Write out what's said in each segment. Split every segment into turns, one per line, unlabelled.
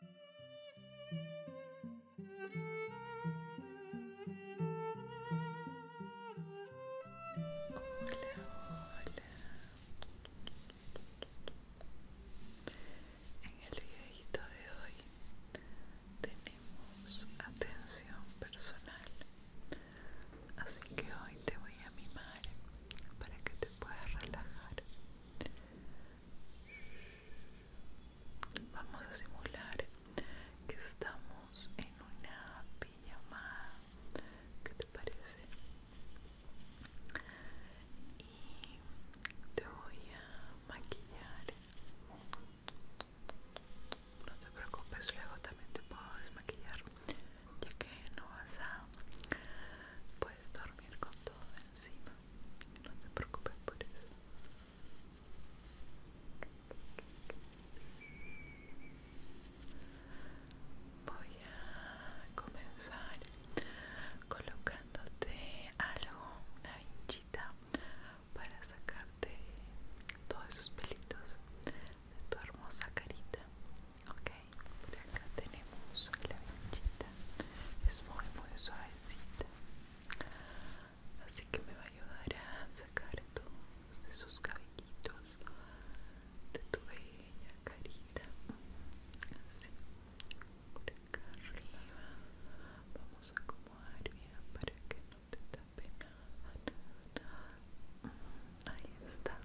En el videito de hoy tenemos atención personal, así que hoy te voy a mimar para que te puedas relajar. Vamos a simular que estamos en una pijamada. ¿Qué te parece? Y te voy a maquillar. No te preocupes, luego también te puedo desmaquillar, ya que no vas a puedes dormir con todo encima. No te preocupes por eso. Voy a comenzar colocándote algo, una hinchita para sacarte todos esos pelitos de tu hermosa carita. Ok, por acá tenemos la vinchita, es muy muy suavecita, así que me va a ayudar a sacar todos esos cabellitos de tu bella carita. Así, por acá arriba, vamos a acomodar bien para que no te tape nada ahí está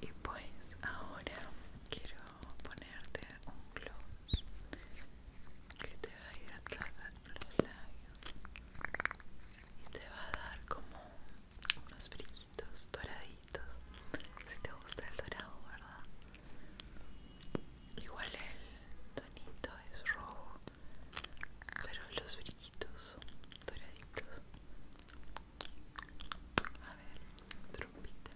y pues ahora quiero ponerte un gloss que te va a ir hidratar los labios y te va a dar como unos brillitos doraditos si te gusta el dorado verdad igual el tonito es rojo pero los brillitos son doraditos a ver, trompita.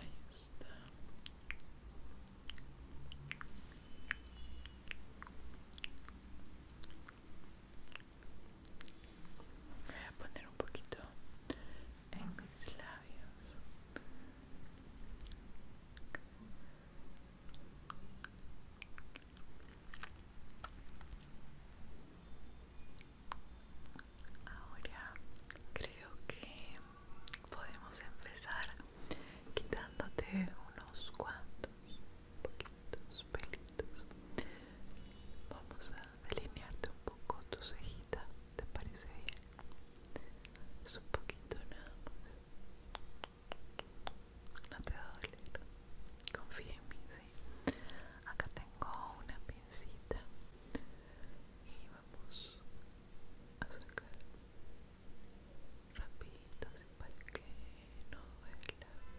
Ahí está. Voy a poner un poquito en mis labios ahora creo que podemos empezar quitándote unos cuantos poquitos pelitos vamos a delinearte un poco tu cejita, ¿te parece bien? Es un poquito nada más. No te va a doler. Confía en mí, sí. Acá tengo una pincita y vamos a sacar rapidito así para que no duela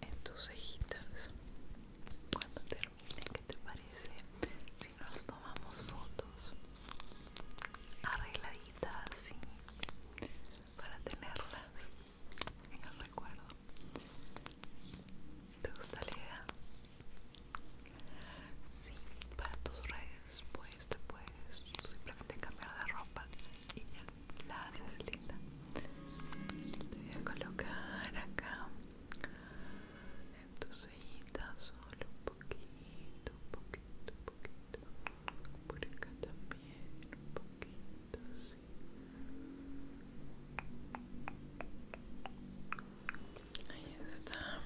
en tus cejitas cuando terminen ¿qué te parece? si nos tomamos fotos arregladitas así para tenerlas en el recuerdo ¿te gusta la idea? sí, para tus redes después te puedes simplemente cambiar de ropa y ya la haces linda. Te voy a colocar acá en tu solo un poquito, un poquito, un poquito. Por acá también un poquito, sí. Ahí está.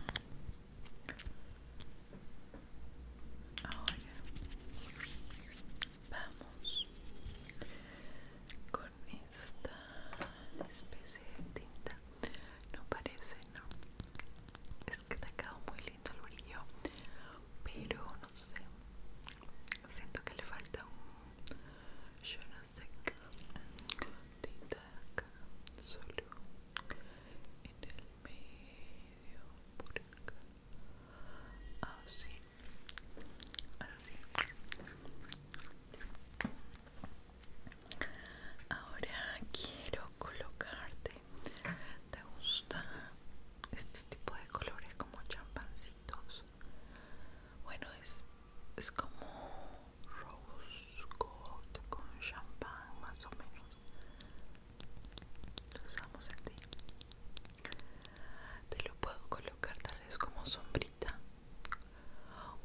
Ahora vamos con esta especie de tinta. No parece, no. Es que te ha quedado muy lindo el brillo, pero no sé. Siento que le falta un. Yo no sé Tinta acá, solo en el medio por así así ahora quiero colocarte te gusta este tipo de colores como champancitos bueno es es como rose gold con champán más o menos Usamos Te lo puedo colocar tal vez como sombrita.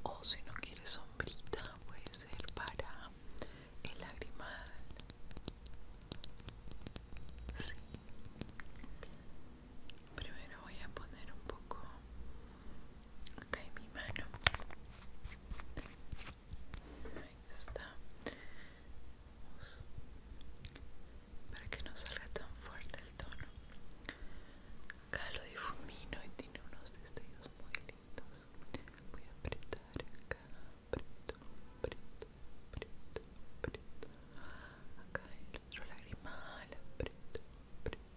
O si no quieres sombrita, puede ser para el lagrimal. Sí. Primero voy a poner un poco acá en mi mano. Ahí está. Para que no salga tan fuerte el tono. Acá lo difumino y tiene unos destellos muy lindos. Voy a apretar acá. Aprieto, aprieto, Acá el otro lagrimal. Aprieto,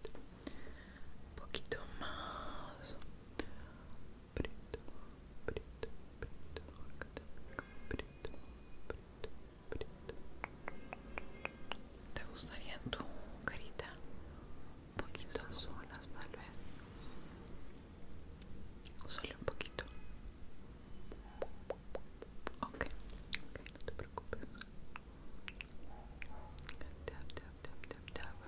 Un poquito más preto, preto, preto, preto, preto, preto. ¿Te gustaría tu carita? Un poquito solas tal vez. Solo un poquito. Ok, ok, no te preocupes. tap, tap, tap, tap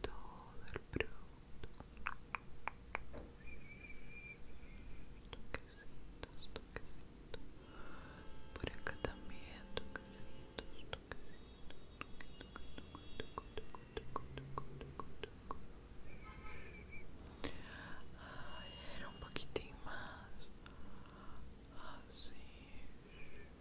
todo el pronto toquecitos, toquecitos por acá también toquecitos, toquecitos un poquitín más así ah,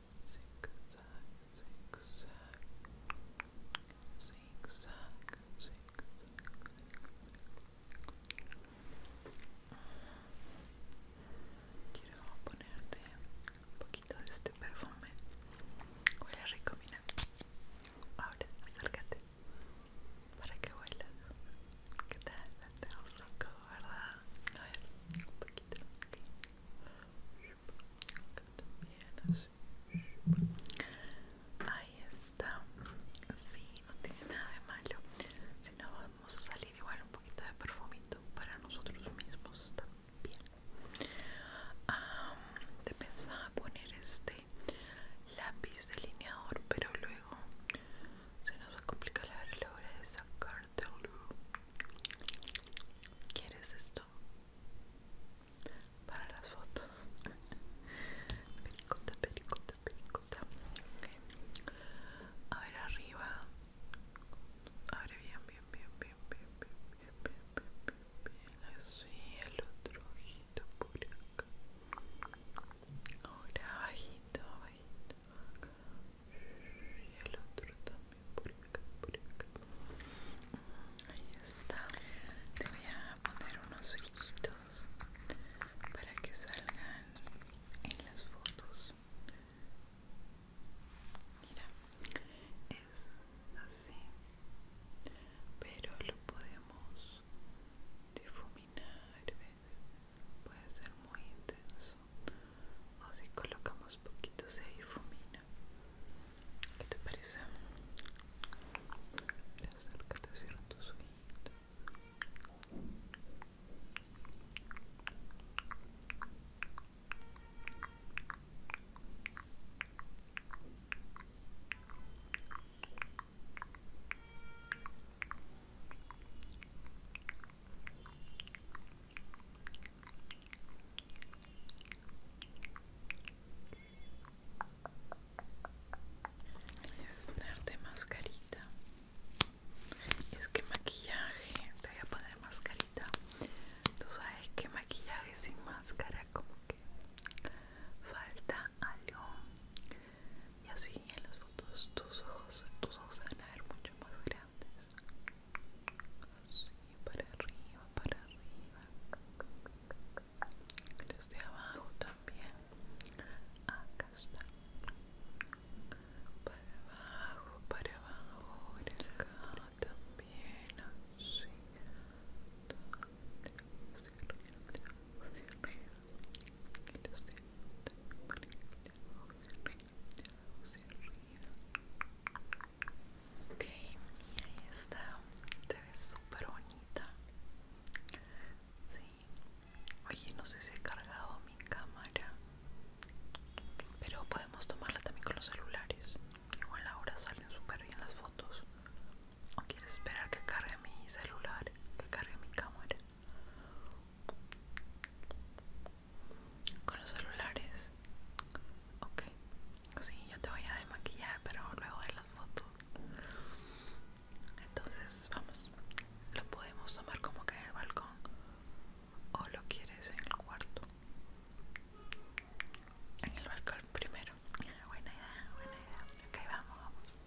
Quiero ponerte un poquito de este perfume. Huele rico, mira. Ahora, acércate para que huela. ¿Qué tal? Te ¿verdad? A ver, un poquito. Ahí está. Sí, no tiene nada de malo. Si no, vamos a salir igual un poquito de perfumito para nosotros mismos también. te pensaba poner este lápiz delineador, pero luego se nos va a complicar la hora de sacarlo ¿Quieres esto? Para las fotos. pericota, pericota, pericota. A ver arriba. A ver bien, bien, bien, bien, bien, bien, bien, bien, bien, bien, bien. Así el otro ojito por acá. Ahora bajito, bajito y el otro también por acá, por acá. Mm, ahí está. Te voy a poner unos brillitos para que salgan en las fotos. Mira, es así, pero lo podemos difuminar, puede ser muy intenso o si colocamos poquito se difumina ¿qué te parece? acércate te cierra tus ojitos es darte mascarita. Es que maquillaje, te voy a poner mascarita. Tú sabes que maquillaje sin máscara como que falta algo y así en las fotos tus ojos tus ojos se van a ver mucho más grandes así para arriba para arriba Desde abajo también acá está para abajo para abajo acá también así que ok, ahí está te ves súper bonita sí oye, no sé si he cargado mi cámara pero podemos tomarla también con los celulares igual ahora salen súper bien las fotos o quieres esperar que cargue mi celular que cargue mi cámara con los celulares ok sí yo te voy a desmaquillar pero luego de las fotos entonces vamos lo podemos tomar como que en el balcón o lo quieres en el cuarto en el balcón primero buena idea buena idea ok vamos vamos